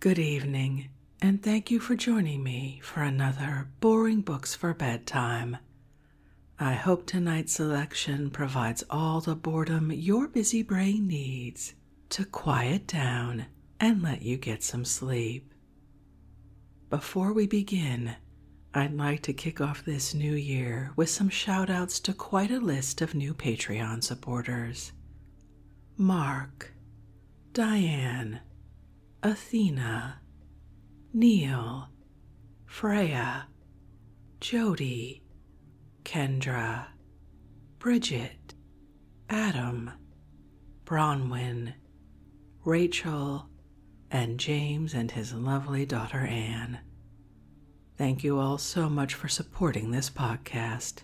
Good evening, and thank you for joining me for another Boring Books for Bedtime. I hope tonight's selection provides all the boredom your busy brain needs to quiet down and let you get some sleep. Before we begin, I'd like to kick off this new year with some shout outs to quite a list of new Patreon supporters, Mark, Diane, Athena, Neil, Freya, Jody, Kendra, Bridget, Adam, Bronwyn, Rachel, and James and his lovely daughter Anne. Thank you all so much for supporting this podcast.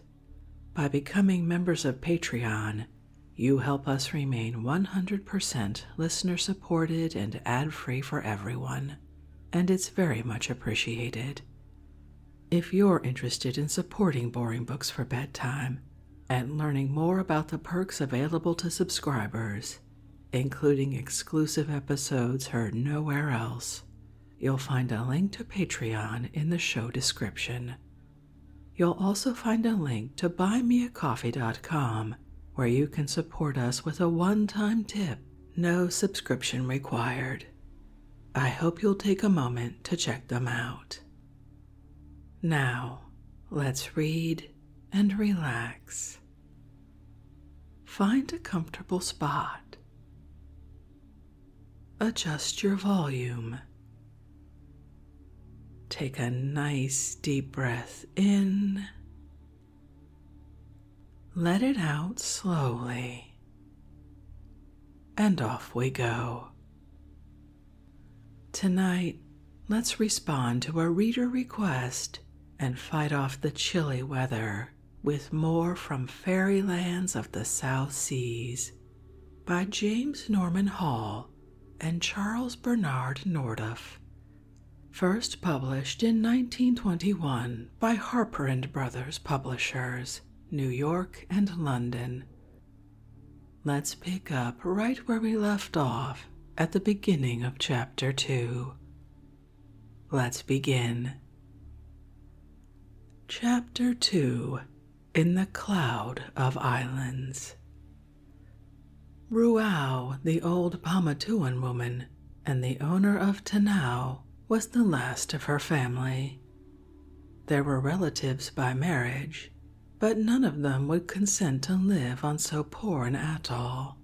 By becoming members of Patreon, you help us remain 100% listener supported and ad free for everyone, and it's very much appreciated. If you're interested in supporting Boring Books for Bedtime and learning more about the perks available to subscribers, including exclusive episodes heard nowhere else, You'll find a link to Patreon in the show description. You'll also find a link to buymeacoffee.com where you can support us with a one time tip, no subscription required. I hope you'll take a moment to check them out. Now, let's read and relax. Find a comfortable spot adjust your volume. Take a nice deep breath in. Let it out slowly. And off we go. Tonight, let's respond to a reader request and fight off the chilly weather with more from fairy lands of the South Seas by James Norman Hall and Charles Bernard Nordoff. First published in 1921 by Harper and Brothers Publishers, New York and London. Let's pick up right where we left off at the beginning of Chapter 2. Let's begin. Chapter 2 In the Cloud of Islands. Ruau, the old Pomatuan woman and the owner of Tanau, was the last of her family. There were relatives by marriage, but none of them would consent to live on so poor an atoll,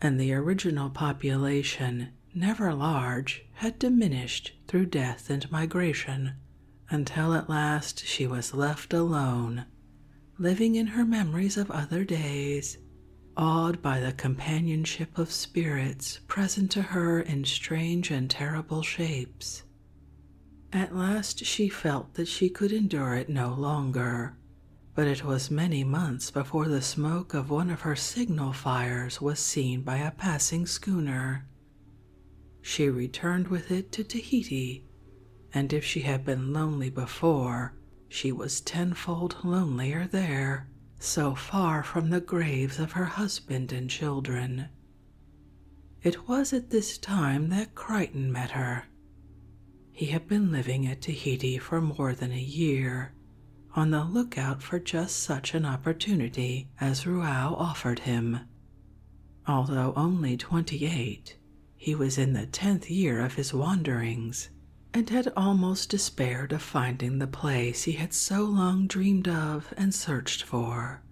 and the original population never large, had diminished through death and migration, until at last she was left alone, living in her memories of other days, awed by the companionship of spirits present to her in strange and terrible shapes. At last she felt that she could endure it no longer, but it was many months before the smoke of one of her signal fires was seen by a passing schooner. She returned with it to Tahiti, and if she had been lonely before, she was tenfold lonelier there, so far from the graves of her husband and children. It was at this time that Crichton met her. He had been living at Tahiti for more than a year on the lookout for just such an opportunity as Ruau offered him. Although only twenty eight, he was in the tenth year of his wanderings and had almost despaired of finding the place he had so long dreamed of and searched for.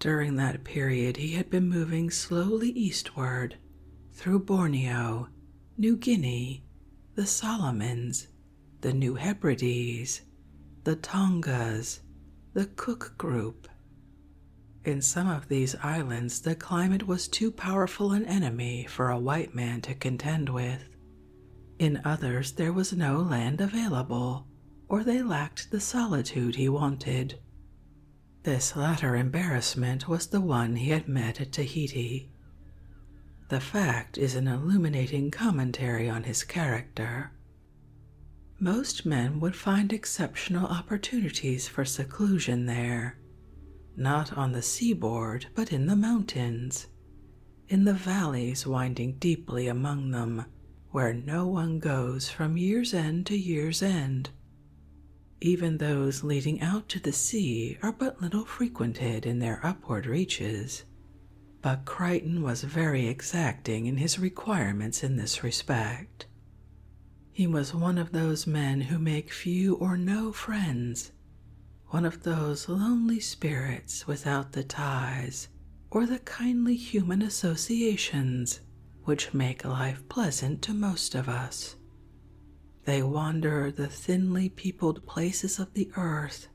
During that period, he had been moving slowly eastward through Borneo, New Guinea, the Solomons, the New Hebrides, the Tongas, the Cook Group. In some of these islands, the climate was too powerful an enemy for a white man to contend with. In others, there was no land available, or they lacked the solitude he wanted. This latter embarrassment was the one he had met at Tahiti. The fact is an illuminating commentary on his character. Most men would find exceptional opportunities for seclusion there, not on the seaboard, but in the mountains, in the valleys winding deeply among them, where no one goes from year's end to year's end. Even those leading out to the sea are but little frequented in their upward reaches, but Crichton was very exacting in his requirements in this respect. He was one of those men who make few or no friends, one of those lonely spirits without the ties or the kindly human associations which make life pleasant to most of us. They wander the thinly peopled places of the earth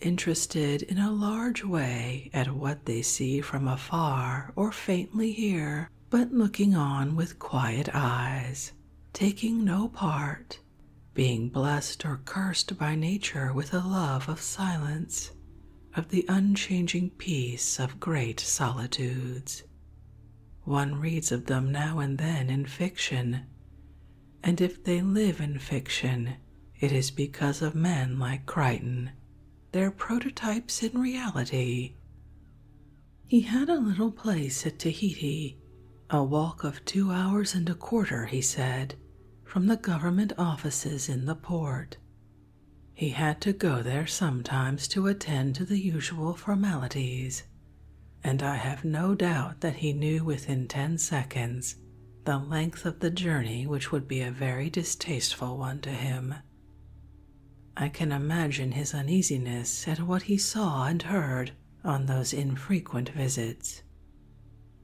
interested in a large way at what they see from afar or faintly hear, but looking on with quiet eyes, taking no part, being blessed or cursed by nature with a love of silence, of the unchanging peace of great solitudes. One reads of them now and then in fiction and if they live in fiction, it is because of men like Crichton, their prototypes in reality. He had a little place at Tahiti, a walk of two hours and a quarter, he said, from the government offices in the port. He had to go there sometimes to attend to the usual formalities and I have no doubt that he knew within ten seconds the length of the journey, which would be a very distasteful one to him. I can imagine his uneasiness at what he saw and heard on those infrequent visits.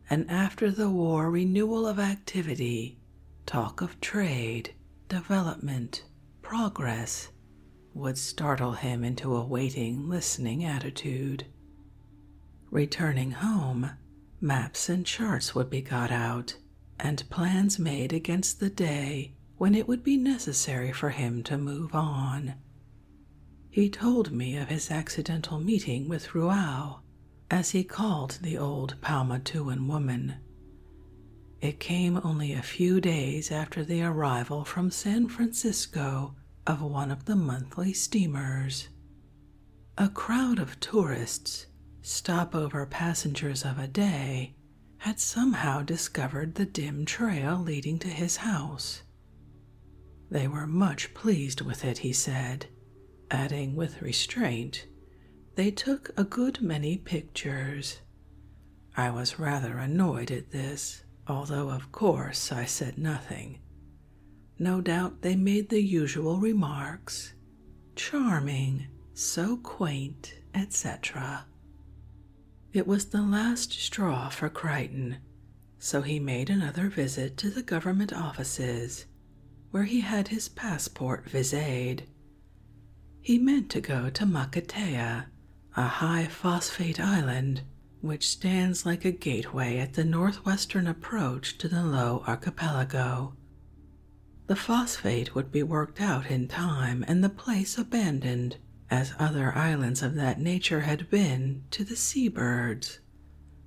and after the war renewal of activity, talk of trade, development, progress, would startle him into a waiting, listening attitude, Returning home, maps and charts would be got out, and plans made against the day when it would be necessary for him to move on. He told me of his accidental meeting with Ruau, as he called the old Palmatuan woman. It came only a few days after the arrival from San Francisco of one of the monthly steamers. A crowd of tourists, stopover passengers of a day, had somehow discovered the dim trail leading to his house. They were much pleased with it, he said, adding with restraint, they took a good many pictures. I was rather annoyed at this, although, of course, I said nothing, no doubt they made the usual remarks charming, so quaint, etc. It was the last straw for Crichton, so he made another visit to the government offices, where he had his passport viséd. He meant to go to Makatea, a high phosphate island which stands like a gateway at the northwestern approach to the Low Archipelago. The phosphate would be worked out in time and the place abandoned, as other islands of that nature had been, to the sea birds.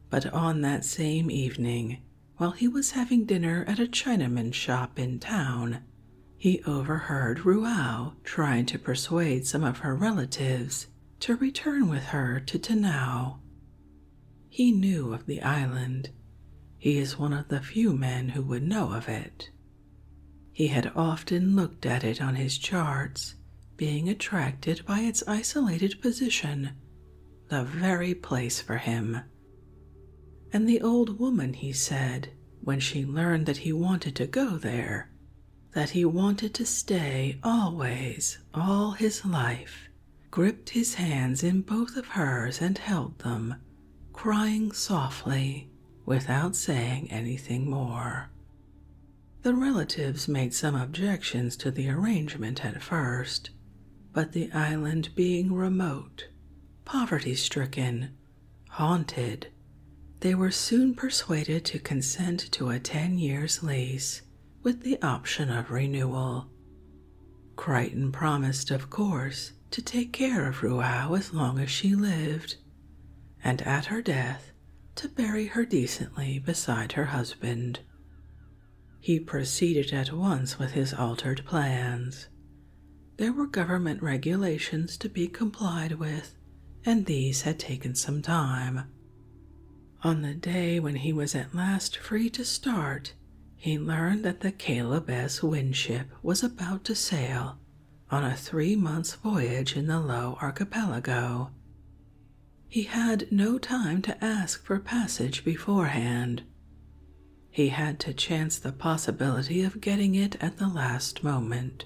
But on that same evening, while he was having dinner at a Chinaman's shop in town, he overheard Ruau trying to persuade some of her relatives to return with her to Tanao. He knew of the island. He is one of the few men who would know of it. He had often looked at it on his charts, being attracted by its isolated position, the very place for him. And the old woman, he said, when she learned that he wanted to go there, that he wanted to stay always, all his life, gripped his hands in both of hers and held them, crying softly without saying anything more. The relatives made some objections to the arrangement at first, but the island being remote, poverty stricken, haunted, they were soon persuaded to consent to a ten years' lease with the option of renewal. Crichton promised, of course, to take care of Ruau as long as she lived, and at her death to bury her decently beside her husband. He proceeded at once with his altered plans. There were government regulations to be complied with, and these had taken some time. On the day when he was at last free to start, he learned that the Caleb S. Winship was about to sail on a three months' voyage in the Low Archipelago. He had no time to ask for passage beforehand. He had to chance the possibility of getting it at the last moment.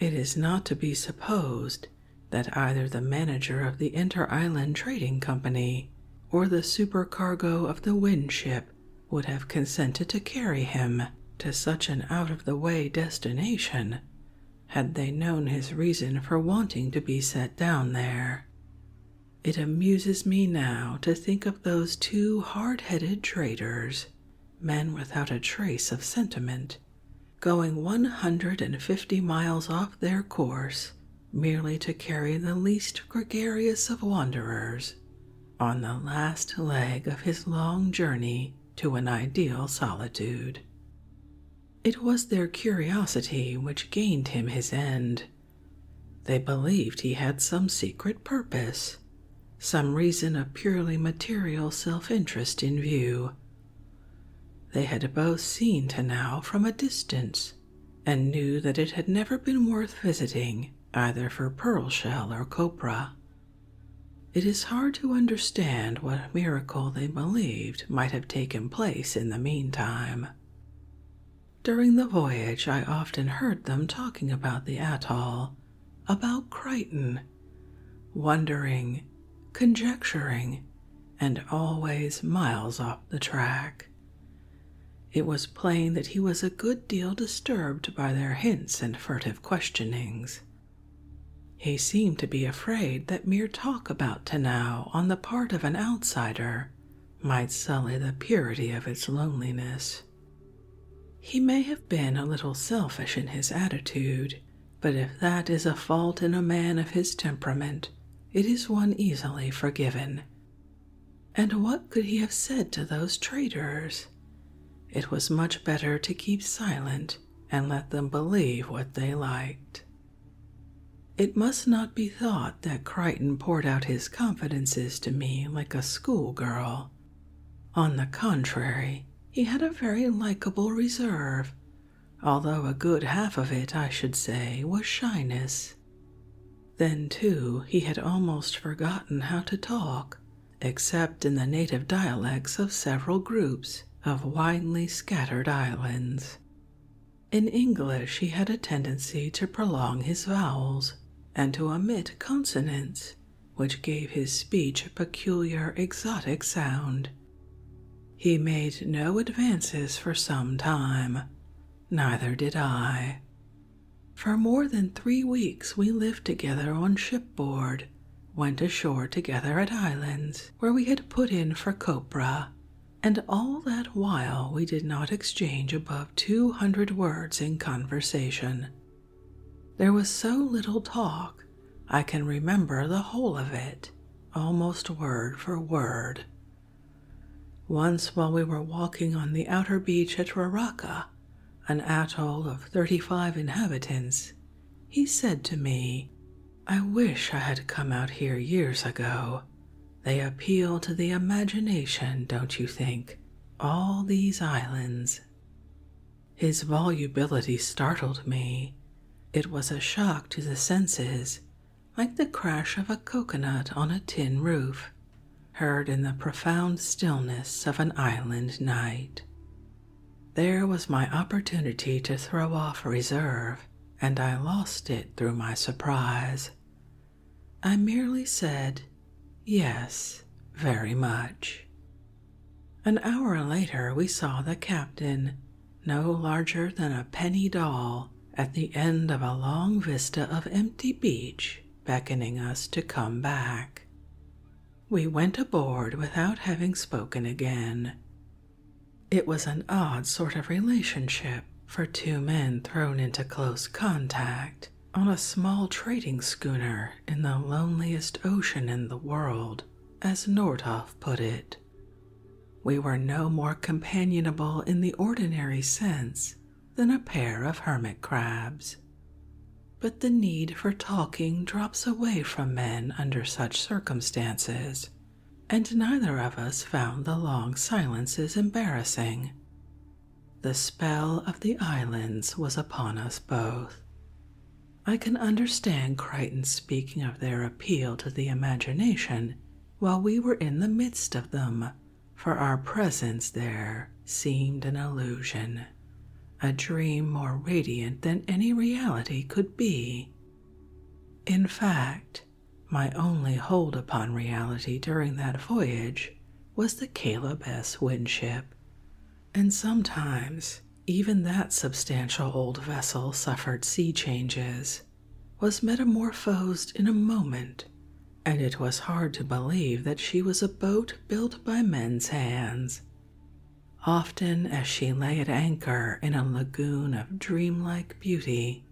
It is not to be supposed that either the manager of the Inter Island Trading Company or the supercargo of the wind ship would have consented to carry him to such an out of the way destination had they known his reason for wanting to be set down there. It amuses me now to think of those two hard headed traders, men without a trace of sentiment, going 150 miles off their course merely to carry the least gregarious of wanderers on the last leg of his long journey to an ideal solitude. It was their curiosity which gained him his end. They believed he had some secret purpose, some reason of purely material self interest in view, they had both seen Tanao from a distance and knew that it had never been worth visiting either for pearl shell or copra. It is hard to understand what miracle they believed might have taken place in the meantime. During the voyage, I often heard them talking about the atoll, about Crichton, wondering, conjecturing, and always miles off the track. It was plain that he was a good deal disturbed by their hints and furtive questionings. He seemed to be afraid that mere talk about Tanao on the part of an outsider might sully the purity of its loneliness. He may have been a little selfish in his attitude but if that is a fault in a man of his temperament, it is one easily forgiven. And what could he have said to those traitors? It was much better to keep silent and let them believe what they liked. It must not be thought that Crichton poured out his confidences to me like a schoolgirl. On the contrary, he had a very likable reserve although a good half of it, I should say, was shyness. Then, too, he had almost forgotten how to talk, except in the native dialects of several groups of widely scattered islands. In English, he had a tendency to prolong his vowels and to omit consonants, which gave his speech a peculiar exotic sound. He made no advances for some time, neither did I. For more than three weeks we lived together on shipboard, went ashore together at islands where we had put in for copra, and all that while we did not exchange above two hundred words in conversation. There was so little talk I can remember the whole of it, almost word for word. Once, while we were walking on the outer beach at Raraka, an atoll of thirty five inhabitants, he said to me, I wish I had come out here years ago. They appeal to the imagination, don't you think? All these islands. His volubility startled me. It was a shock to the senses, like the crash of a coconut on a tin roof, heard in the profound stillness of an island night. There was my opportunity to throw off reserve, and I lost it through my surprise. I merely said, Yes, very much. An hour later, we saw the captain, no larger than a penny doll, at the end of a long vista of empty beach, beckoning us to come back. We went aboard without having spoken again. It was an odd sort of relationship for two men thrown into close contact on a small trading schooner in the loneliest ocean in the world, as Nordhoff put it. We were no more companionable in the ordinary sense than a pair of hermit crabs. But the need for talking drops away from men under such circumstances, and neither of us found the long silences embarrassing. The spell of the islands was upon us both. I can understand Crichton speaking of their appeal to the imagination while we were in the midst of them, for our presence there seemed an illusion, a dream more radiant than any reality could be. In fact, my only hold upon reality during that voyage was the Caleb S. Winship, and sometimes even that substantial old vessel suffered sea changes, was metamorphosed in a moment, and it was hard to believe that she was a boat built by men's hands. Often, as she lay at anchor in a lagoon of dreamlike beauty,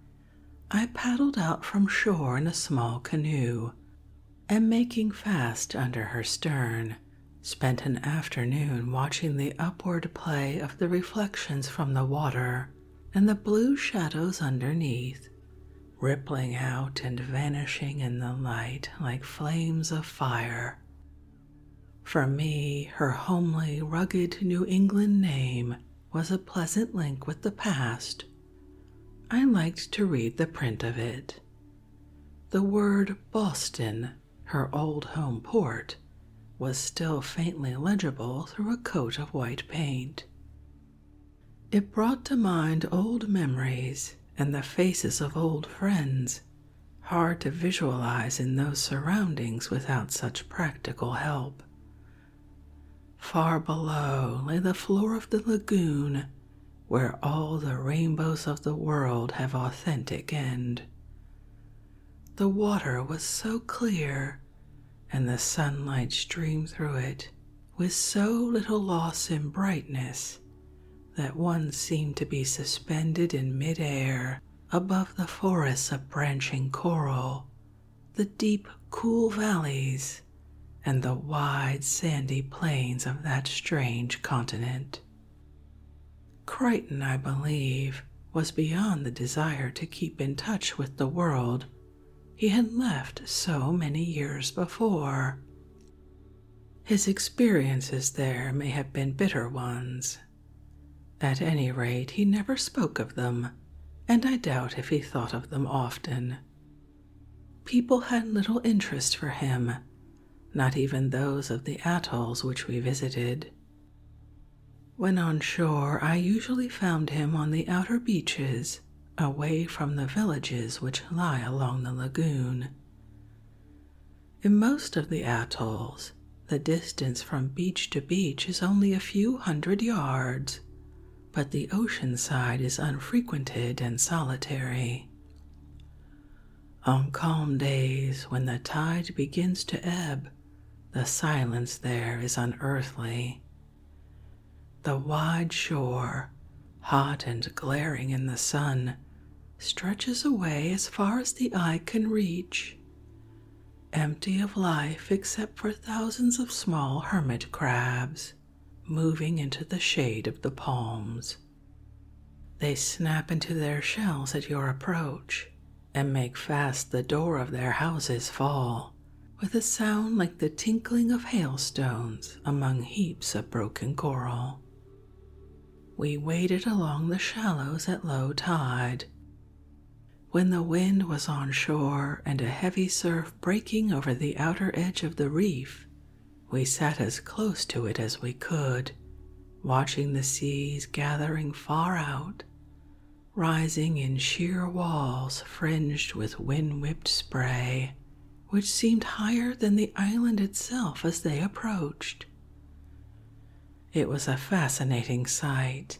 I paddled out from shore in a small canoe, and making fast under her stern, spent an afternoon watching the upward play of the reflections from the water and the blue shadows underneath, rippling out and vanishing in the light like flames of fire. For me, her homely, rugged New England name was a pleasant link with the past. I liked to read the print of it. The word Boston her old home port, was still faintly legible through a coat of white paint. It brought to mind old memories and the faces of old friends, hard to visualize in those surroundings without such practical help. Far below lay the floor of the lagoon, where all the rainbows of the world have authentic end, the water was so clear, and the sunlight streamed through it with so little loss in brightness that one seemed to be suspended in midair above the forests of branching coral, the deep, cool valleys, and the wide sandy plains of that strange continent. Crichton, I believe, was beyond the desire to keep in touch with the world he had left so many years before. His experiences there may have been bitter ones. At any rate, he never spoke of them, and I doubt if he thought of them often. People had little interest for him, not even those of the atolls which we visited. When on shore, I usually found him on the outer beaches, away from the villages which lie along the lagoon. In most of the atolls, the distance from beach to beach is only a few hundred yards, but the ocean side is unfrequented and solitary. On calm days, when the tide begins to ebb, the silence there is unearthly. The wide shore, hot and glaring in the sun, stretches away as far as the eye can reach, empty of life except for thousands of small hermit crabs moving into the shade of the palms. They snap into their shells at your approach and make fast the door of their houses fall with a sound like the tinkling of hailstones among heaps of broken coral. We waded along the shallows at low tide. When the wind was on shore and a heavy surf breaking over the outer edge of the reef, we sat as close to it as we could watching the seas gathering far out, rising in sheer walls fringed with wind whipped spray, which seemed higher than the island itself as they approached. It was a fascinating sight.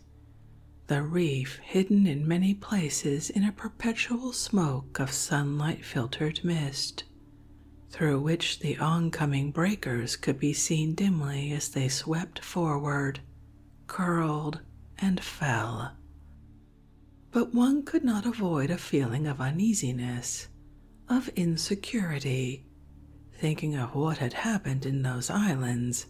The reef hidden in many places in a perpetual smoke of sunlight filtered mist, through which the oncoming breakers could be seen dimly as they swept forward, curled, and fell. But one could not avoid a feeling of uneasiness, of insecurity, thinking of what had happened in those islands,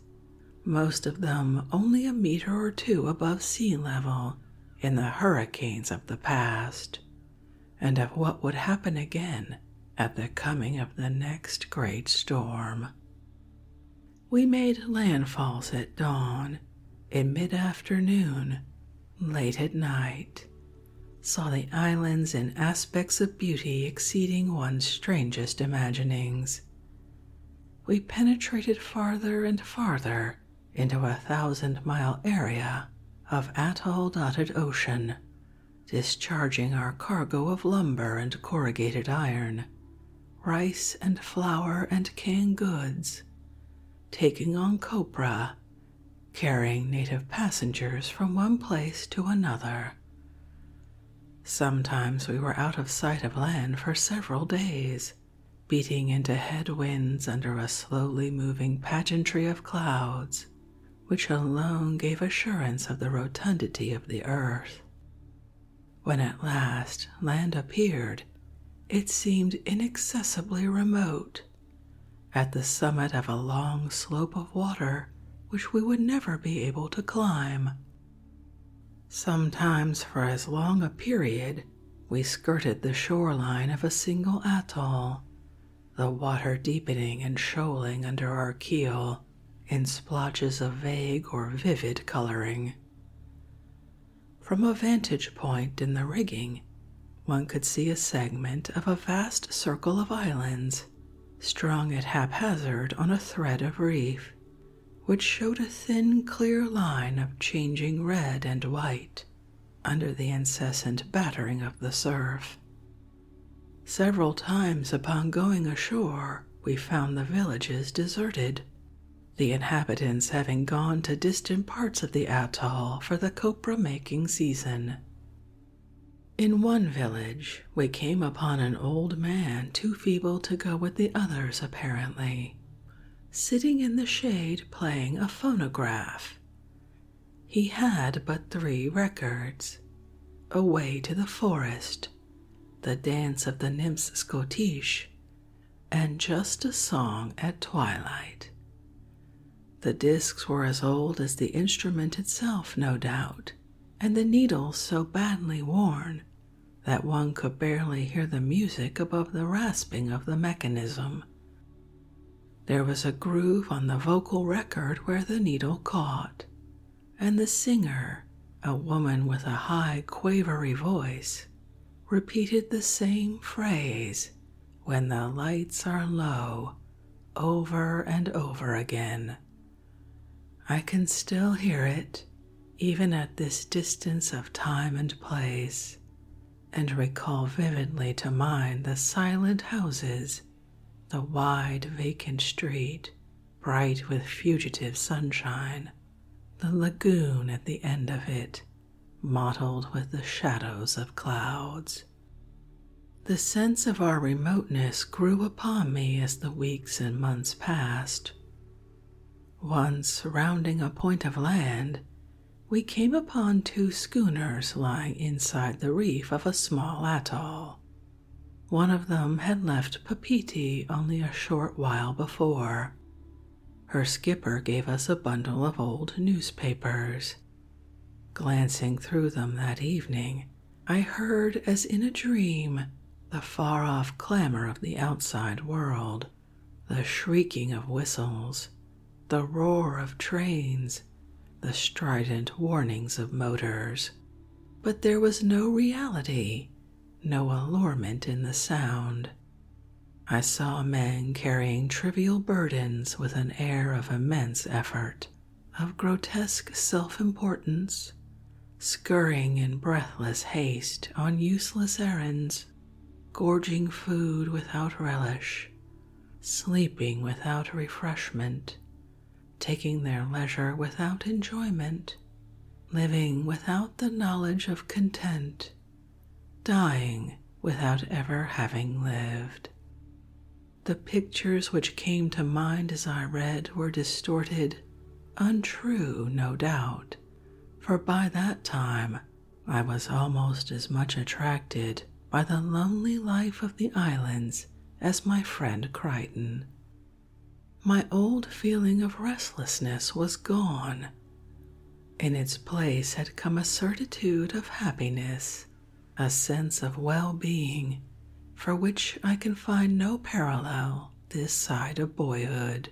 most of them only a meter or two above sea level in the hurricanes of the past and of what would happen again at the coming of the next great storm. We made landfalls at dawn, in mid afternoon, late at night, saw the islands in aspects of beauty exceeding one's strangest imaginings. We penetrated farther and farther into a thousand mile area of atoll dotted ocean discharging our cargo of lumber and corrugated iron, rice and flour and canned goods, taking on copra, carrying native passengers from one place to another. Sometimes we were out of sight of land for several days, beating into head winds under a slowly moving pageantry of clouds, which alone gave assurance of the rotundity of the earth. When at last land appeared, it seemed inaccessibly remote, at the summit of a long slope of water which we would never be able to climb. Sometimes, for as long a period, we skirted the shoreline of a single atoll, the water deepening and shoaling under our keel in splotches of vague or vivid coloring. From a vantage point in the rigging, one could see a segment of a vast circle of islands strung at haphazard on a thread of reef, which showed a thin, clear line of changing red and white under the incessant battering of the surf. Several times upon going ashore, we found the villages deserted, the inhabitants having gone to distant parts of the atoll for the copra making season. In one village, we came upon an old man too feeble to go with the others, apparently, sitting in the shade playing a phonograph. He had but three records Away to the Forest, The Dance of the Nymphs Scottish, and Just a Song at Twilight. The discs were as old as the instrument itself, no doubt, and the needles so badly worn that one could barely hear the music above the rasping of the mechanism. There was a groove on the vocal record where the needle caught, and the singer, a woman with a high, quavery voice, repeated the same phrase, When the lights are low, over and over again. I can still hear it, even at this distance of time and place, and recall vividly to mind the silent houses the wide vacant street, bright with fugitive sunshine, the lagoon at the end of it, mottled with the shadows of clouds. The sense of our remoteness grew upon me as the weeks and months passed. Once rounding a point of land, we came upon two schooners lying inside the reef of a small atoll. One of them had left Papiti only a short while before. Her skipper gave us a bundle of old newspapers. Glancing through them that evening, I heard, as in a dream, the far off clamor of the outside world, the shrieking of whistles, the roar of trains, the strident warnings of motors. But there was no reality, no allurement in the sound. I saw men carrying trivial burdens with an air of immense effort, of grotesque self importance, scurrying in breathless haste on useless errands, gorging food without relish, sleeping without refreshment, taking their leisure without enjoyment, living without the knowledge of content, dying without ever having lived. The pictures which came to mind as I read were distorted, untrue, no doubt, for by that time I was almost as much attracted by the lonely life of the islands as my friend Crichton. My old feeling of restlessness was gone. In its place had come a certitude of happiness, a sense of well being for which I can find no parallel this side of boyhood.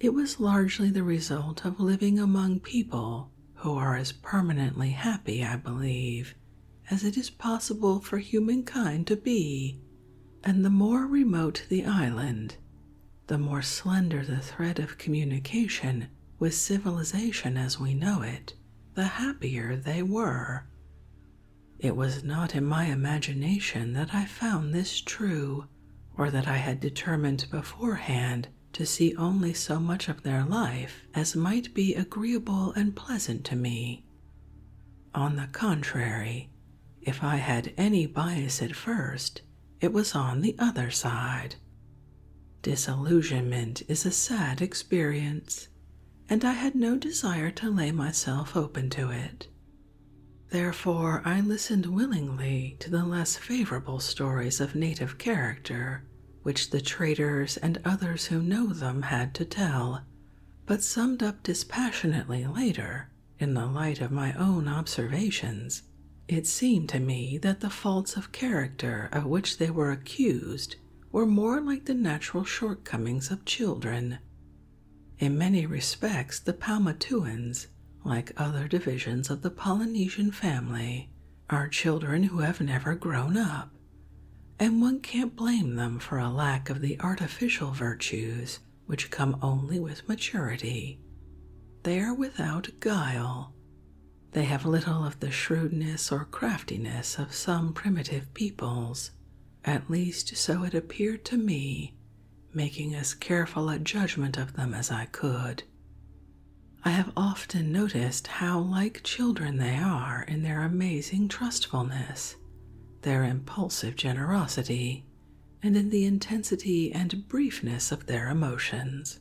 It was largely the result of living among people who are as permanently happy, I believe, as it is possible for humankind to be. And the more remote the island, the more slender the thread of communication with civilization as we know it, the happier they were. It was not in my imagination that I found this true, or that I had determined beforehand to see only so much of their life as might be agreeable and pleasant to me. On the contrary, if I had any bias at first, it was on the other side. Disillusionment is a sad experience, and I had no desire to lay myself open to it. Therefore, I listened willingly to the less favorable stories of native character which the traders and others who know them had to tell, but summed up dispassionately later, in the light of my own observations. It seemed to me that the faults of character of which they were accused were more like the natural shortcomings of children. In many respects, the Palmatuans, like other divisions of the Polynesian family, are children who have never grown up and one can't blame them for a lack of the artificial virtues which come only with maturity. They are without guile. They have little of the shrewdness or craftiness of some primitive peoples, at least so it appeared to me, making as careful a judgment of them as I could. I have often noticed how like children they are in their amazing trustfulness, their impulsive generosity, and in the intensity and briefness of their emotions.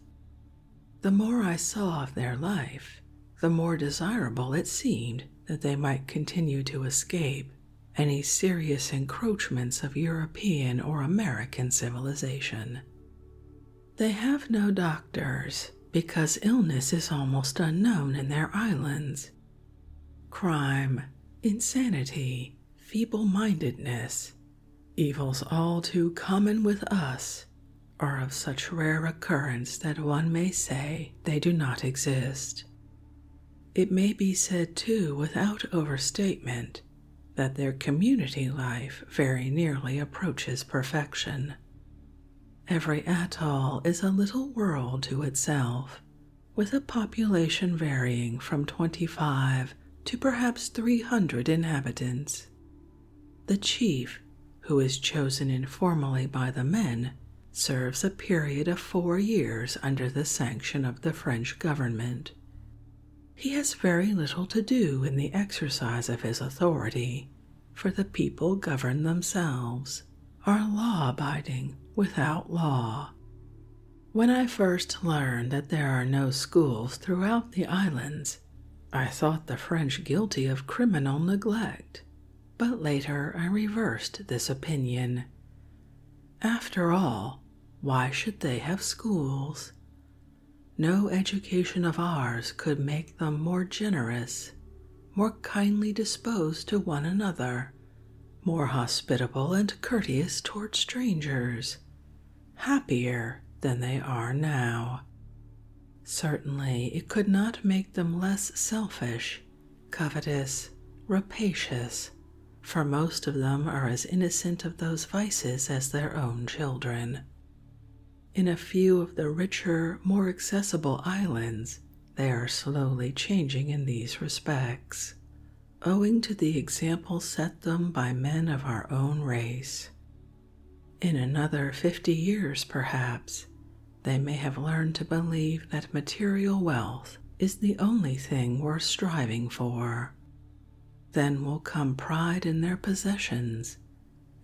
The more I saw of their life, the more desirable it seemed that they might continue to escape any serious encroachments of European or American civilization. They have no doctors because illness is almost unknown in their islands. Crime, insanity, feeble mindedness, evils all too common with us, are of such rare occurrence that one may say they do not exist. It may be said, too, without overstatement, that their community life very nearly approaches perfection. Every atoll is a little world to itself, with a population varying from 25 to perhaps 300 inhabitants. The chief, who is chosen informally by the men, serves a period of four years under the sanction of the French government. He has very little to do in the exercise of his authority, for the people govern themselves, are law abiding without law. When I first learned that there are no schools throughout the islands, I thought the French guilty of criminal neglect, but later I reversed this opinion. After all, why should they have schools? No education of ours could make them more generous, more kindly disposed to one another, more hospitable and courteous toward strangers, happier than they are now. Certainly, it could not make them less selfish, covetous, rapacious, for most of them are as innocent of those vices as their own children. In a few of the richer, more accessible islands, they are slowly changing in these respects, owing to the example set them by men of our own race. In another fifty years, perhaps, they may have learned to believe that material wealth is the only thing worth striving for. Then will come pride in their possessions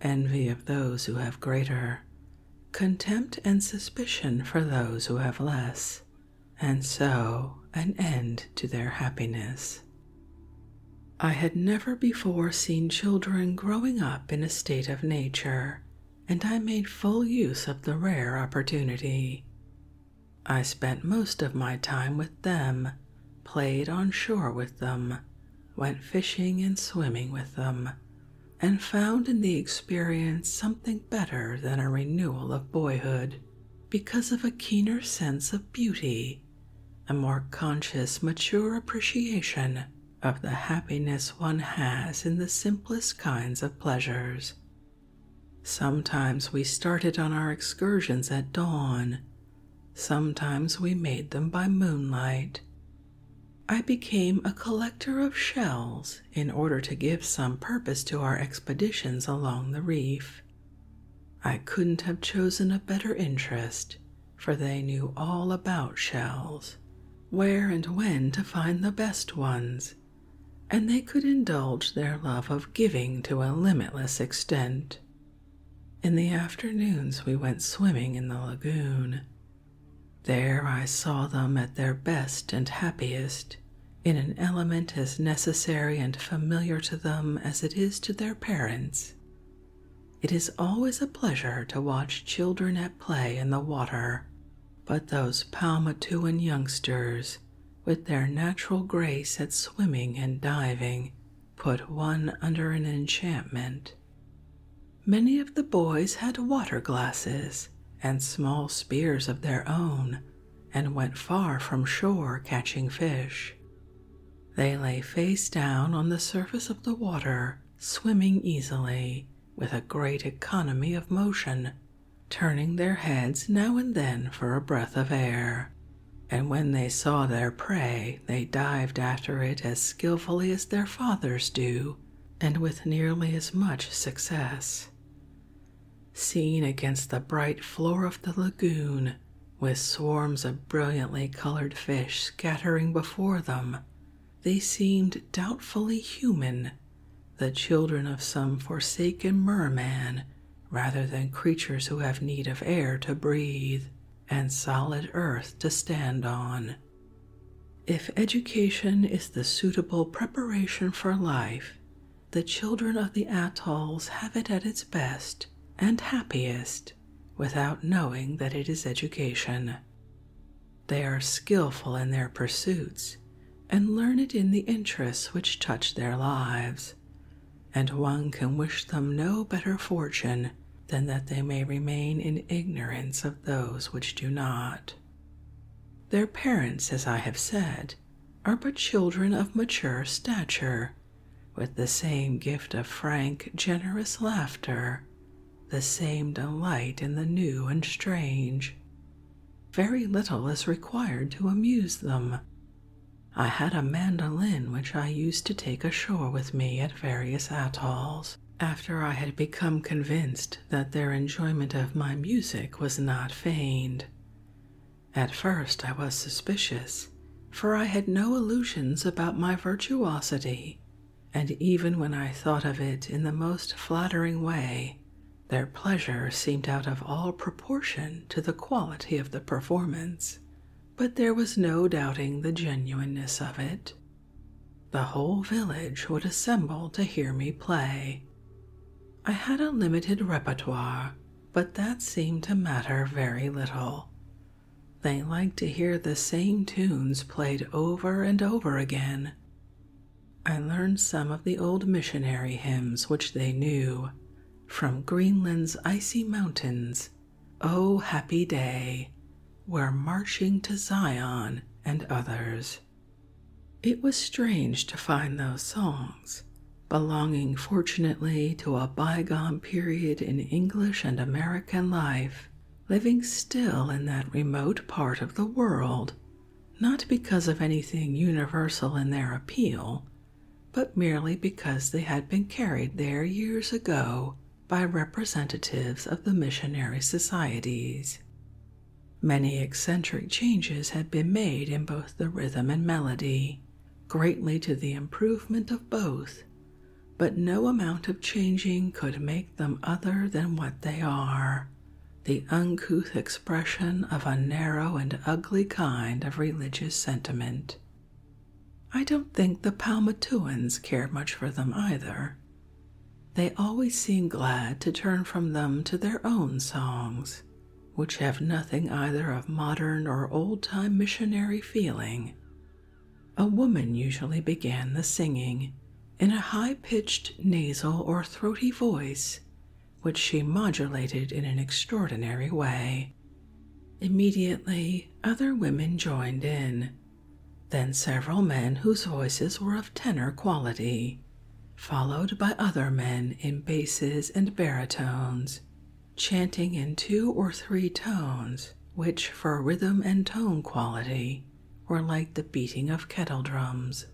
envy of those who have greater, contempt and suspicion for those who have less, and so an end to their happiness. I had never before seen children growing up in a state of nature, and I made full use of the rare opportunity. I spent most of my time with them played on shore with them, went fishing and swimming with them, and found in the experience something better than a renewal of boyhood because of a keener sense of beauty, a more conscious, mature appreciation of the happiness one has in the simplest kinds of pleasures. Sometimes we started on our excursions at dawn Sometimes we made them by moonlight. I became a collector of shells in order to give some purpose to our expeditions along the reef. I couldn't have chosen a better interest, for they knew all about shells, where and when to find the best ones, and they could indulge their love of giving to a limitless extent. In the afternoons, we went swimming in the lagoon. There I saw them at their best and happiest, in an element as necessary and familiar to them as it is to their parents. It is always a pleasure to watch children at play in the water, but those Palmatuan youngsters, with their natural grace at swimming and diving, put one under an enchantment. Many of the boys had water glasses and small spears of their own and went far from shore catching fish. They lay face down on the surface of the water, swimming easily, with a great economy of motion, turning their heads now and then for a breath of air. And when they saw their prey, they dived after it as skillfully as their fathers do, and with nearly as much success. Seen against the bright floor of the lagoon, with swarms of brilliantly colored fish scattering before them, they seemed doubtfully human, the children of some forsaken merman, rather than creatures who have need of air to breathe and solid earth to stand on. If education is the suitable preparation for life, the children of the atolls have it at its best and happiest without knowing that it is education. They are skillful in their pursuits and learn it in the interests which touch their lives, and one can wish them no better fortune than that they may remain in ignorance of those which do not. Their parents, as I have said, are but children of mature stature, with the same gift of frank, generous laughter, the same delight in the new and strange. Very little is required to amuse them. I had a mandolin which I used to take ashore with me various atolls after I had become convinced that their enjoyment of my music was not feigned. At first I was suspicious, for I had no illusions about my virtuosity, and even when I thought of it in the most flattering way, their pleasure seemed out of all proportion to the quality of the performance but there was no doubting the genuineness of it. The whole village would assemble to hear me play. I had a limited repertoire, but that seemed to matter very little. They liked to hear the same tunes played over and over again. I learned some of the old missionary hymns which they knew, from Greenland's icy mountains Oh, happy day! We're marching to Zion and others. It was strange to find those songs, belonging fortunately to a bygone period in English and American life, living still in that remote part of the world, not because of anything universal in their appeal, but merely because they had been carried there years ago by representatives of the missionary societies. Many eccentric changes had been made in both the rhythm and melody, greatly to the improvement of both, but no amount of changing could make them other than what they are the uncouth expression of a narrow and ugly kind of religious sentiment I don't think the Palmatuans care much for them either. They always seem glad to turn from them to their own songs, which have nothing either of modern or old time missionary feeling. A woman usually began the singing in a high pitched nasal or throaty voice, which she modulated in an extraordinary way. Immediately, other women joined in, then several men whose voices were of tenor quality, followed by other men in basses and baritones, chanting in two or three tones, which for rhythm and tone quality were like the beating of kettle drums.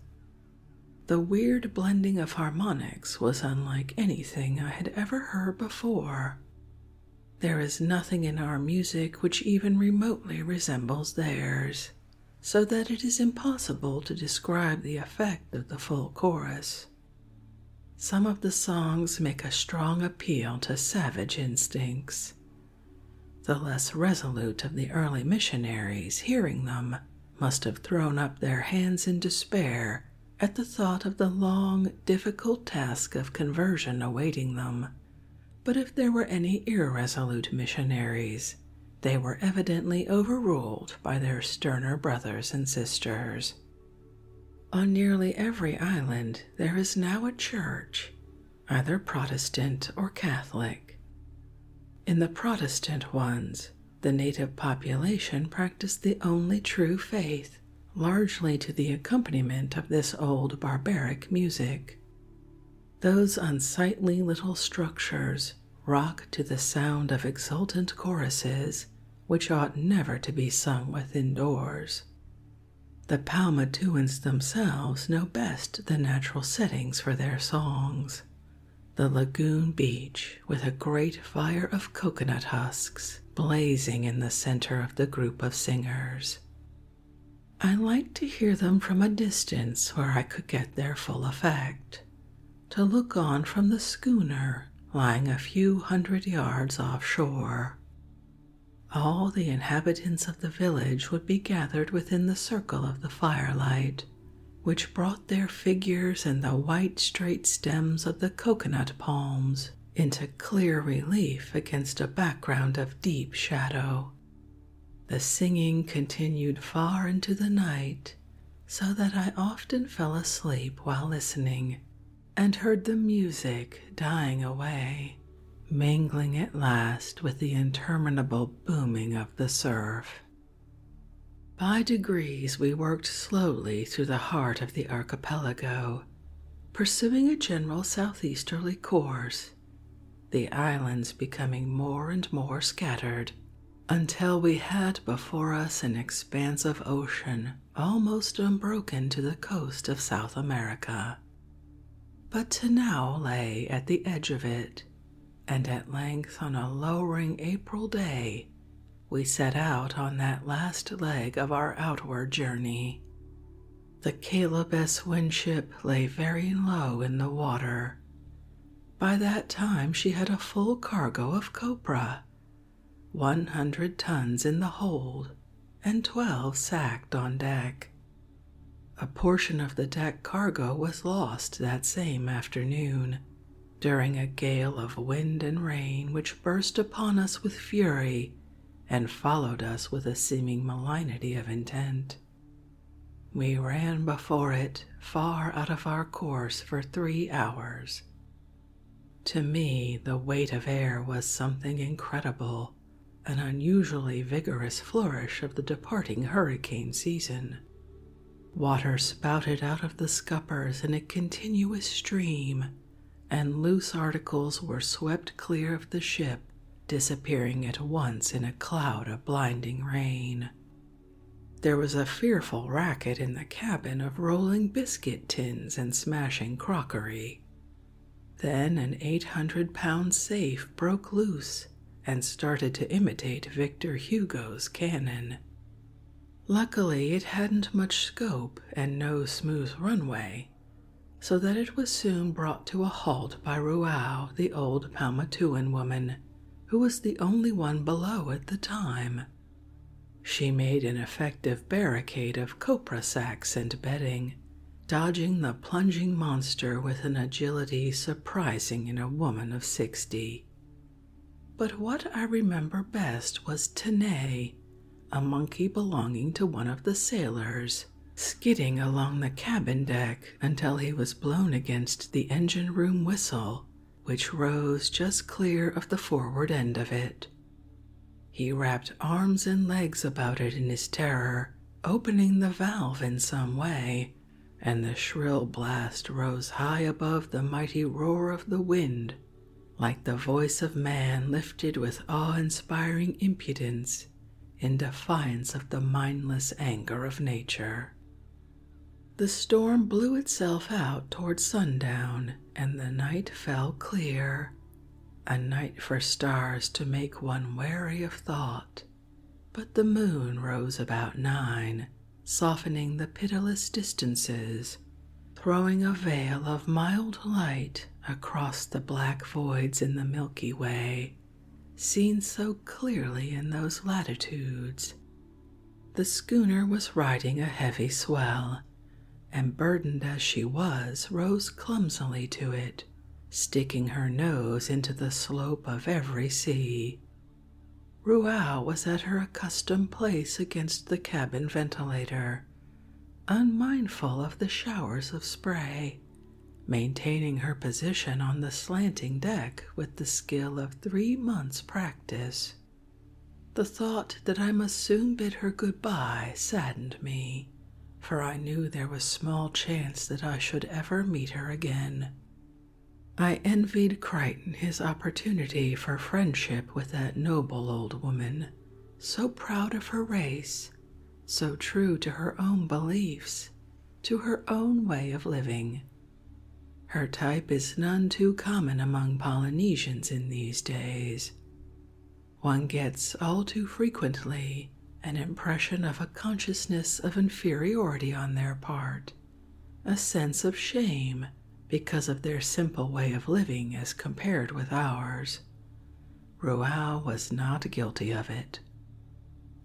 The weird blending of harmonics was unlike anything I had ever heard before. There is nothing in our music which even remotely resembles theirs, so that it is impossible to describe the effect of the full chorus. Some of the songs make a strong appeal to savage instincts. The less resolute of the early missionaries, hearing them, must have thrown up their hands in despair at the thought of the long difficult task of conversion awaiting them. But if there were any irresolute missionaries, they were evidently overruled by their sterner brothers and sisters. On nearly every island, there is now a church, either Protestant or Catholic. In the Protestant ones, the native population practiced the only true faith largely to the accompaniment of this old barbaric music. Those unsightly little structures rock to the sound of exultant choruses which ought never to be sung within doors. The Palmatuans themselves know best the natural settings for their songs. The lagoon beach, with a great fire of coconut husks, blazing in the center of the group of singers. I liked to hear them from a distance where I could get their full effect, to look on from the schooner lying a few hundred yards offshore. All the inhabitants of the village would be gathered within the circle of the firelight, which brought their figures and the white straight stems of the coconut palms into clear relief against a background of deep shadow. The singing continued far into the night, so that I often fell asleep while listening and heard the music dying away, mingling at last with the interminable booming of the surf. By degrees, we worked slowly through the heart of the archipelago pursuing a general southeasterly course, the islands becoming more and more scattered until we had before us an expanse of ocean almost unbroken to the coast of South America. But to now lay at the edge of it, and at length on a lowering April day we set out on that last leg of our outward journey, the Caleb S. Winship lay very low in the water. By that time, she had a full cargo of copra, 100 tons in the hold, and 12 sacked on deck. A portion of the deck cargo was lost that same afternoon during a gale of wind and rain which burst upon us with fury and followed us with a seeming malignity of intent. We ran before it far out of our course for three hours. To me, the weight of air was something incredible, an unusually vigorous flourish of the departing hurricane season. Water spouted out of the scuppers in a continuous stream and loose articles were swept clear of the ship, disappearing at once in a cloud of blinding rain. There was a fearful racket in the cabin of rolling biscuit tins and smashing crockery. Then an 800 pound safe broke loose and started to imitate Victor Hugo's cannon. Luckily, it hadn't much scope and no smooth runway, so that it was soon brought to a halt by Ruau, the old Palmatuan woman, who was the only one below at the time. She made an effective barricade of copra sacks and bedding, dodging the plunging monster with an agility surprising in a woman of sixty. But what I remember best was Tene, a monkey belonging to one of the sailors, skidding along the cabin deck until he was blown against the engine room whistle, which rose just clear of the forward end of it. He wrapped arms and legs about it in his terror, opening the valve in some way, and the shrill blast rose high above the mighty roar of the wind like the voice of man lifted with awe inspiring impudence in defiance of the mindless anger of nature. The storm blew itself out toward sundown, and the night fell clear, a night for stars to make one weary of thought. But the moon rose about nine, softening the pitiless distances throwing a veil of mild light across the black voids in the Milky Way, seen so clearly in those latitudes. The schooner was riding a heavy swell, and burdened as she was, rose clumsily to it, sticking her nose into the slope of every sea. Ruau was at her accustomed place against the cabin ventilator, unmindful of the showers of spray, maintaining her position on the slanting deck with the skill of three months' practice. The thought that I must soon bid her good bye saddened me, for I knew there was small chance that I should ever meet her again. I envied Crichton his opportunity for friendship with that noble old woman, so proud of her race, so true to her own beliefs, to her own way of living. Her type is none too common among Polynesians in these days. One gets all too frequently an impression of a consciousness of inferiority on their part, a sense of shame because of their simple way of living as compared with ours years. was not guilty of it.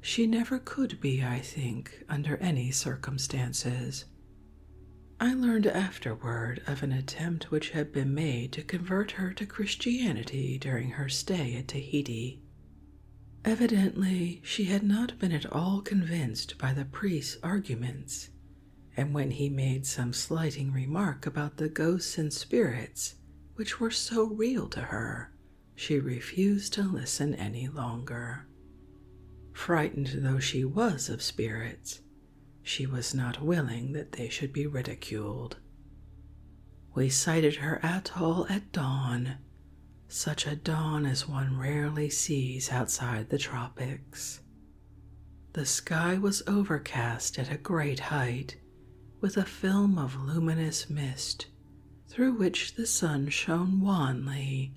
She never could be, I think, under any circumstances. I learned afterward of an attempt which had been made to convert her to Christianity during her stay at Tahiti. Evidently, she had not been at all convinced by the priest's arguments and when he made some slighting remark about the ghosts and spirits which were so real to her, she refused to listen any longer. Frightened though she was of spirits, she was not willing that they should be ridiculed. We sighted her atoll at dawn, such a dawn as one rarely sees outside the tropics. The sky was overcast at a great height with a film of luminous mist through which the sun shone wanly,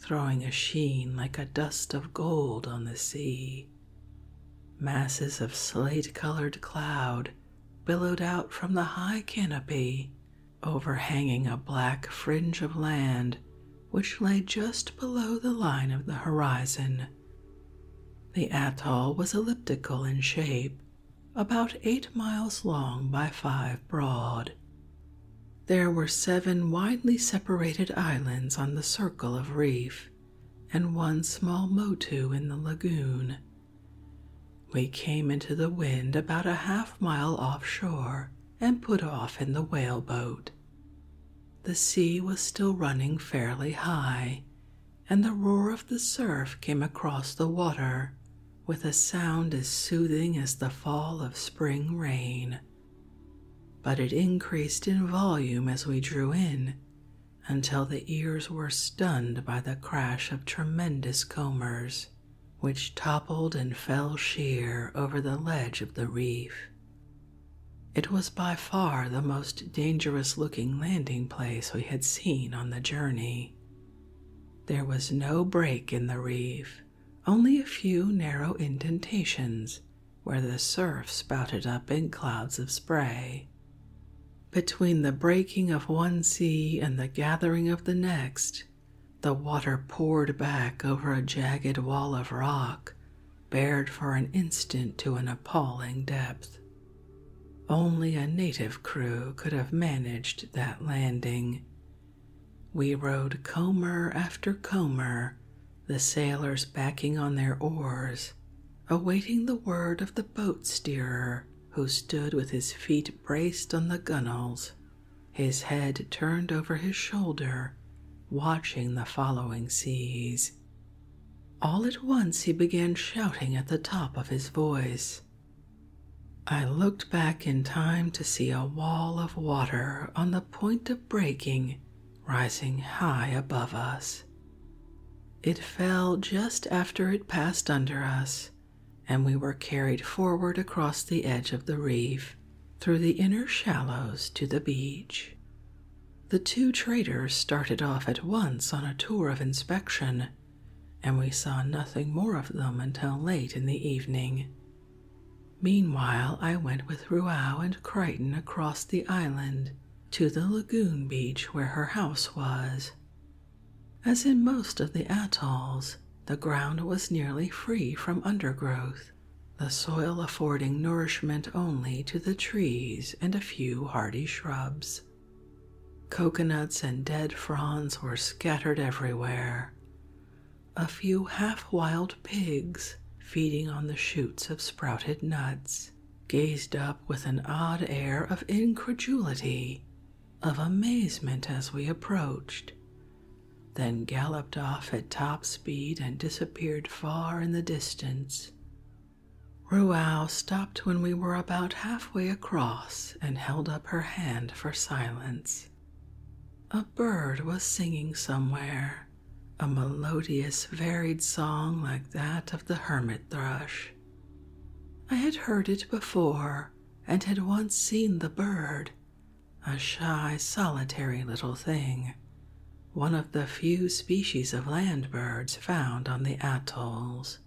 throwing a sheen like a dust of gold on the sea. Masses of slate colored cloud billowed out from the high canopy, overhanging a black fringe of land which lay just below the line of the horizon. The atoll was elliptical in shape, about eight miles long by five broad. There were seven widely separated islands on the circle of reef, and one small motu in the lagoon. We came into the wind about a half mile offshore and put off in the whaleboat. The sea was still running fairly high, and the roar of the surf came across the water with a sound as soothing as the fall of spring rain. But it increased in volume as we drew in until the ears were stunned by the crash of tremendous combers, which toppled and fell sheer over the ledge of the reef. It was by far the most dangerous looking landing place we had seen on the journey. There was no break in the reef, only a few narrow indentations where the surf spouted up in clouds of spray. Between the breaking of one sea and the gathering of the next, the water poured back over a jagged wall of rock bared for an instant to an appalling depth. Only a native crew could have managed that landing. We rowed comber after comber, the sailors backing on their oars, awaiting the word of the boat steerer who stood with his feet braced on the gunwales, his head turned over his shoulder, watching the following seas. All at once he began shouting at the top of his voice. I looked back in time to see a wall of water on the point of breaking rising high above us. It fell just after it passed under us, and we were carried forward across the edge of the reef through the inner shallows to the beach. The two traders started off at once on a tour of inspection, and we saw nothing more of them until late in the evening. Meanwhile, I went with Ruau and Crichton across the island to the lagoon beach where her house was. As in most of the atolls, the ground was nearly free from undergrowth, the soil affording nourishment only to the trees and a few hardy shrubs. Coconuts and dead fronds were scattered everywhere. A few half wild pigs, feeding on the shoots of sprouted nuts, gazed up with an odd air of incredulity, of amazement as we approached, then galloped off at top speed and disappeared far in the distance, Ruau stopped when we were about halfway across and held up her hand for silence. A bird was singing somewhere, a melodious, varied song like that of the hermit thrush. I had heard it before and had once seen the bird, a shy, solitary little thing one of the few species of land birds found on the atolls.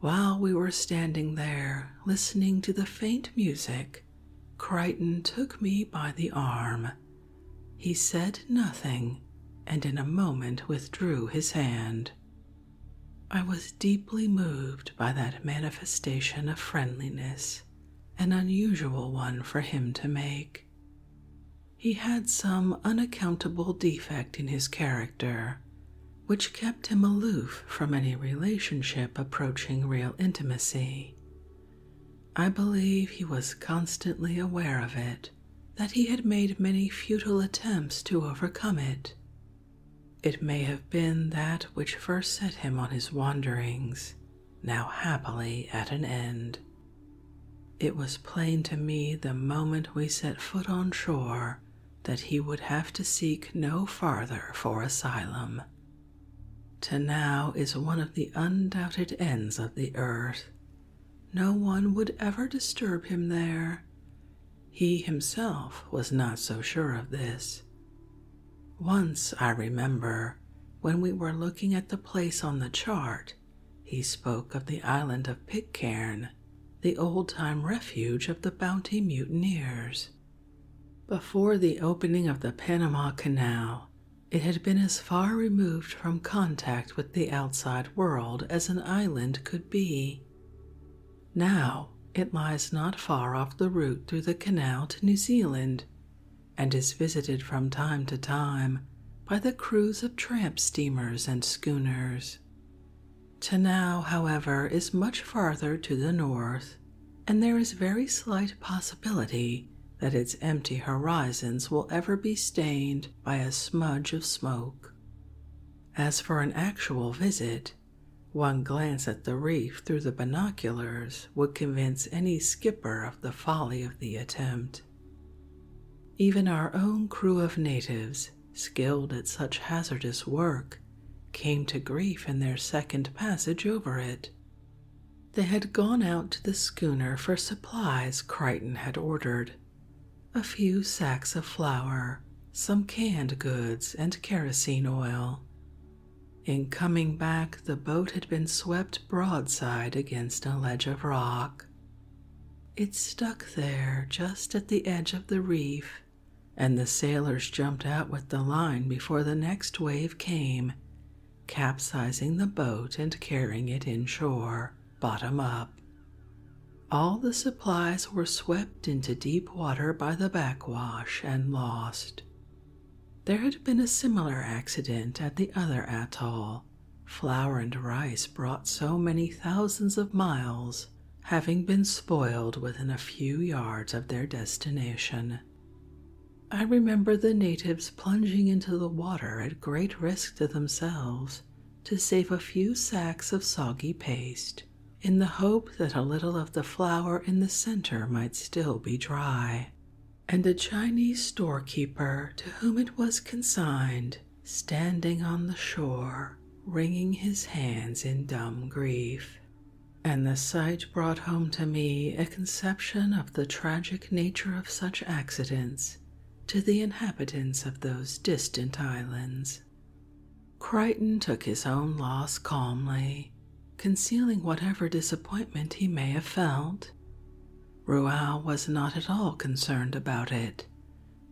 While we were standing there listening to the faint music, Crichton took me by the arm. He said nothing, and in a moment withdrew his hand. I was deeply moved by that manifestation of friendliness, an unusual one for him to make. He had some unaccountable defect in his character, which kept him aloof from any relationship approaching real intimacy. I believe he was constantly aware of it, that he had made many futile attempts to overcome it. It may have been that which first set him on his wanderings, now happily at an end. It was plain to me the moment we set foot on shore that he would have to seek no farther for asylum. To now is one of the undoubted ends of the earth. No one would ever disturb him there. He himself was not so sure of this. Once, I remember, when we were looking at the place on the chart, he spoke of the island of Pitcairn, the old time refuge of the Bounty mutineers. Before the opening of the Panama Canal, it had been as far removed from contact with the outside world as an island could be. Now it lies not far off the route through the canal to New Zealand, and is visited from time to time by the crews of tramp steamers and schooners. Tanao, however, is much farther to the north, and there is very slight possibility that its empty horizons will ever be stained by a smudge of smoke. As for an actual visit, one glance at the reef through the binoculars would convince any skipper of the folly of the attempt. Even our own crew of natives, skilled at such hazardous work, came to grief in their second passage over it. They had gone out to the schooner for supplies Crichton had ordered a few sacks of flour, some canned goods, and kerosene oil. In coming back, the boat had been swept broadside against a ledge of rock. It stuck there just at the edge of the reef, and the sailors jumped out with the line before the next wave came, capsizing the boat and carrying it inshore, bottom up. All the supplies were swept into deep water by the backwash and lost. There had been a similar accident at the other atoll, flour and rice brought so many thousands of miles, having been spoiled within a few yards of their destination. I remember the natives plunging into the water at great risk to themselves to save a few sacks of soggy paste in the hope that a little of the flour in the center might still be dry and a Chinese storekeeper to whom it was consigned standing on the shore, wringing his hands in dumb grief. And the sight brought home to me a conception of the tragic nature of such accidents to the inhabitants of those distant islands. Crichton took his own loss calmly, concealing whatever disappointment he may have felt, Ruau was not at all concerned about it,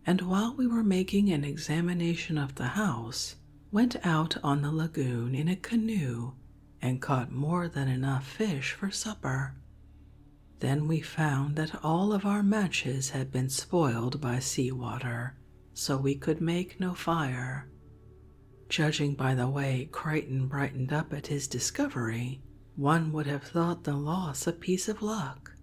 and while we were making an examination of the house, went out on the lagoon in a canoe and caught more than enough fish for supper. Then we found that all of our matches had been spoiled by sea water, so we could make no fire. Judging by the way Creighton brightened up at his discovery, one would have thought the loss a piece of luck.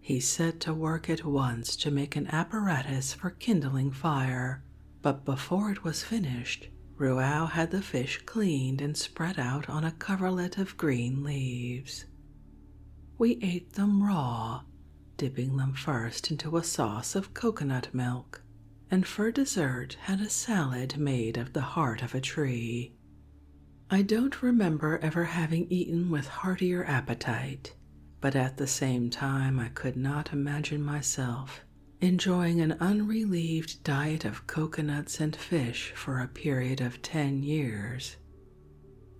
He set to work at once to make an apparatus for kindling fire, but before it was finished, Ruau had the fish cleaned and spread out on a coverlet of green leaves. We ate them raw, dipping them first into a sauce of coconut milk, and for dessert had a salad made of the heart of a tree. I don't remember ever having eaten with heartier appetite, but at the same time, I could not imagine myself enjoying an unrelieved diet of coconuts and fish for a period of ten years.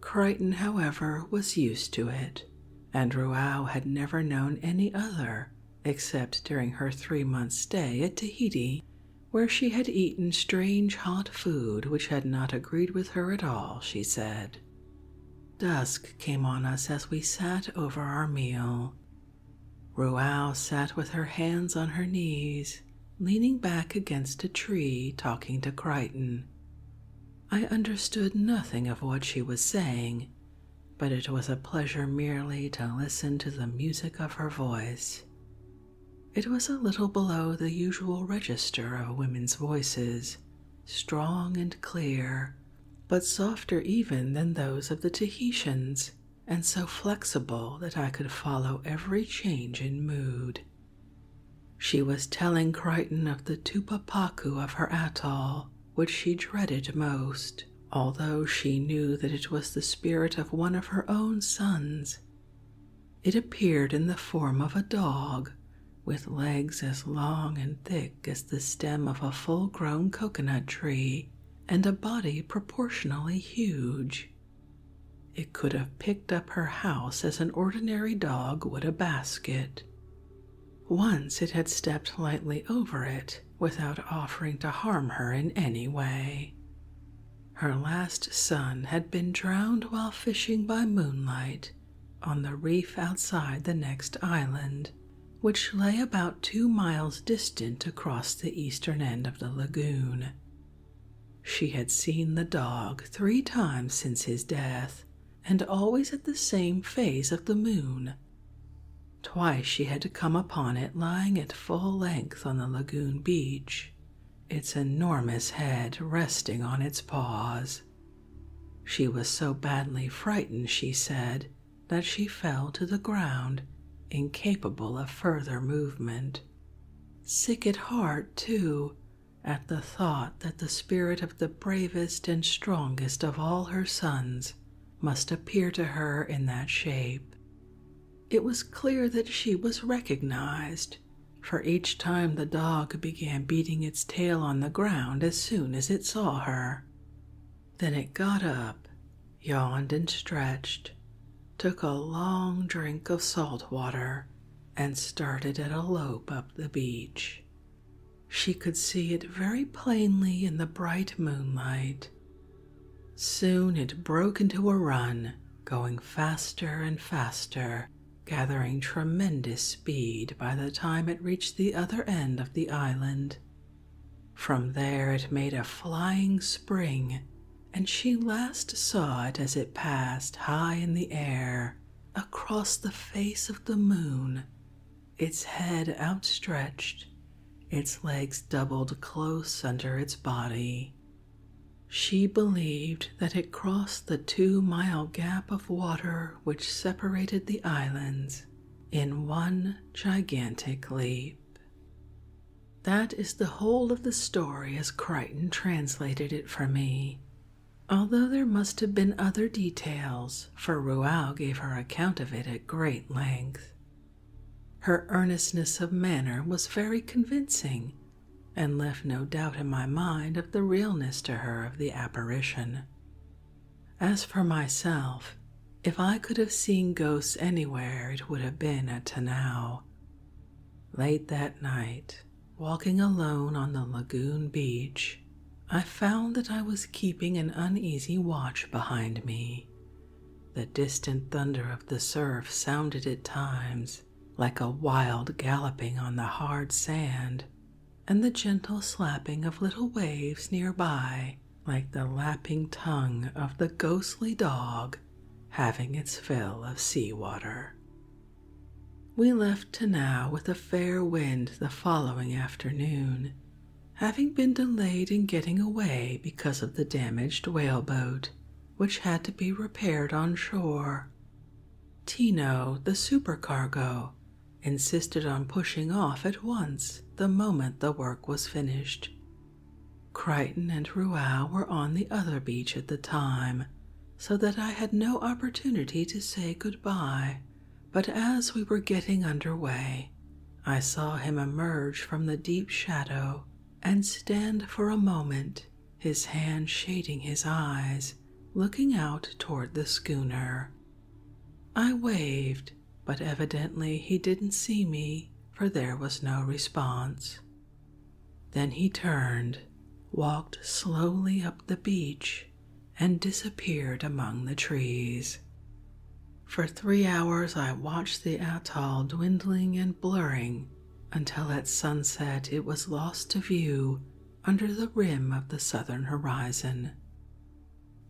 Crichton, however, was used to it, and Ruau had never known any other except during her three months' stay at Tahiti where she had eaten strange hot food which had not agreed with her at all, she said. Dusk came on us as we sat over our meal. Ruau sat with her hands on her knees, leaning back against a tree, talking to Crichton. I understood nothing of what she was saying, but it was a pleasure merely to listen to the music of her voice. It was a little below the usual register of women's voices, strong and clear, but softer even than those of the Tahitians, and so flexible that I could follow every change in mood. She was telling Crichton of the Tupapaku of her atoll, which she dreaded most although she knew that it was the spirit of one of her own sons. It appeared in the form of a dog, with legs as long and thick as the stem of a full grown coconut tree, and a body proportionally huge. It could have picked up her house as an ordinary dog would a basket. Once it had stepped lightly over it, without offering to harm her in any way. Her last son had been drowned while fishing by moonlight on the reef outside the next island, which lay about two miles distant across the eastern end of the lagoon. She had seen the dog three times since his death, and always at the same phase of the moon. Twice she had to come upon it lying at full length on the lagoon beach, its enormous head resting on its paws. She was so badly frightened, she said, that she fell to the ground, incapable of further movement. Sick at heart, too, at the thought that the spirit of the bravest and strongest of all her sons must appear to her in that shape, it was clear that she was recognized, for each time the dog began beating its tail on the ground as soon as it saw her. Then it got up, yawned and stretched, took a long drink of salt water, and started at a lope up the beach. She could see it very plainly in the bright moonlight, Soon it broke into a run, going faster and faster, gathering tremendous speed by the time it reached the other end of the island. From there it made a flying spring, and she last saw it as it passed high in the air across the face of the moon, its head outstretched its legs doubled close under its body. She believed that it crossed the two mile gap of water which separated the islands in one gigantic leap. That is the whole of the story as Crichton translated it for me, although there must have been other details, for Rouault gave her account of it at great length. Her earnestness of manner was very convincing, and left no doubt in my mind of the realness to her of the apparition. As for myself, if I could have seen ghosts anywhere, it would have been at Tanao. Late that night, walking alone on the lagoon beach, I found that I was keeping an uneasy watch behind me, the distant thunder of the surf sounded at times like a wild galloping on the hard sand, and the gentle slapping of little waves near by like the lapping tongue of the ghostly dog having its fill of sea water. We left Tanao with a fair wind the following afternoon, having been delayed in getting away because of the damaged whaleboat, which had to be repaired on shore. Tino, the supercargo, insisted on pushing off at once the moment the work was finished. Crichton and Ruau were on the other beach at the time, so that I had no opportunity to say good-bye. But as we were getting under way, I saw him emerge from the deep shadow and stand for a moment, his hand shading his eyes, looking out toward the schooner. I waved, but evidently he didn't see me, for there was no response. Then he turned, walked slowly up the beach, and disappeared among the trees. For three hours, I watched the atoll dwindling and blurring until at sunset it was lost to view under the rim of the southern horizon.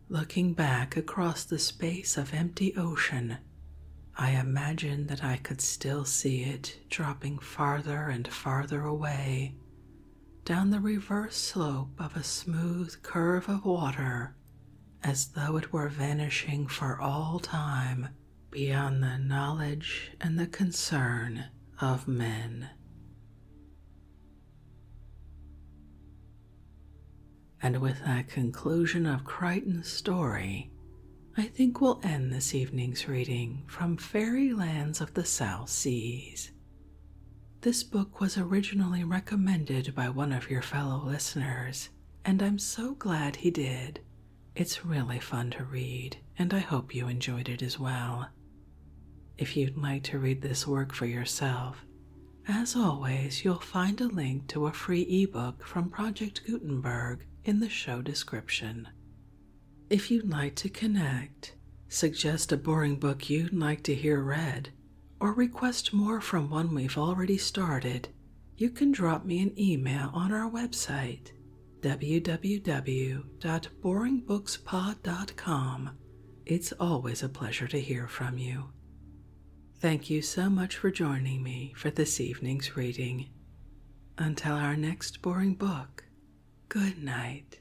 Looking back across the space of empty ocean, I imagined that I could still see it dropping farther and farther away, down the reverse slope of a smooth curve of water as though it were vanishing for all time beyond the knowledge and the concern of men. And with that conclusion of Crichton's story, I think we'll end this evening's reading from Fairy Lands of the South Seas. This book was originally recommended by one of your fellow listeners and I'm so glad he did. It's really fun to read, and I hope you enjoyed it as well. If you'd like to read this work for yourself, as always, you'll find a link to a free ebook from Project Gutenberg in the show description. If you'd like to connect, suggest a boring book you'd like to hear read, or request more from one we've already started, you can drop me an email on our website www.boringbookspod.com. It's always a pleasure to hear from you. Thank you so much for joining me for this evening's reading. Until our next boring book, good night.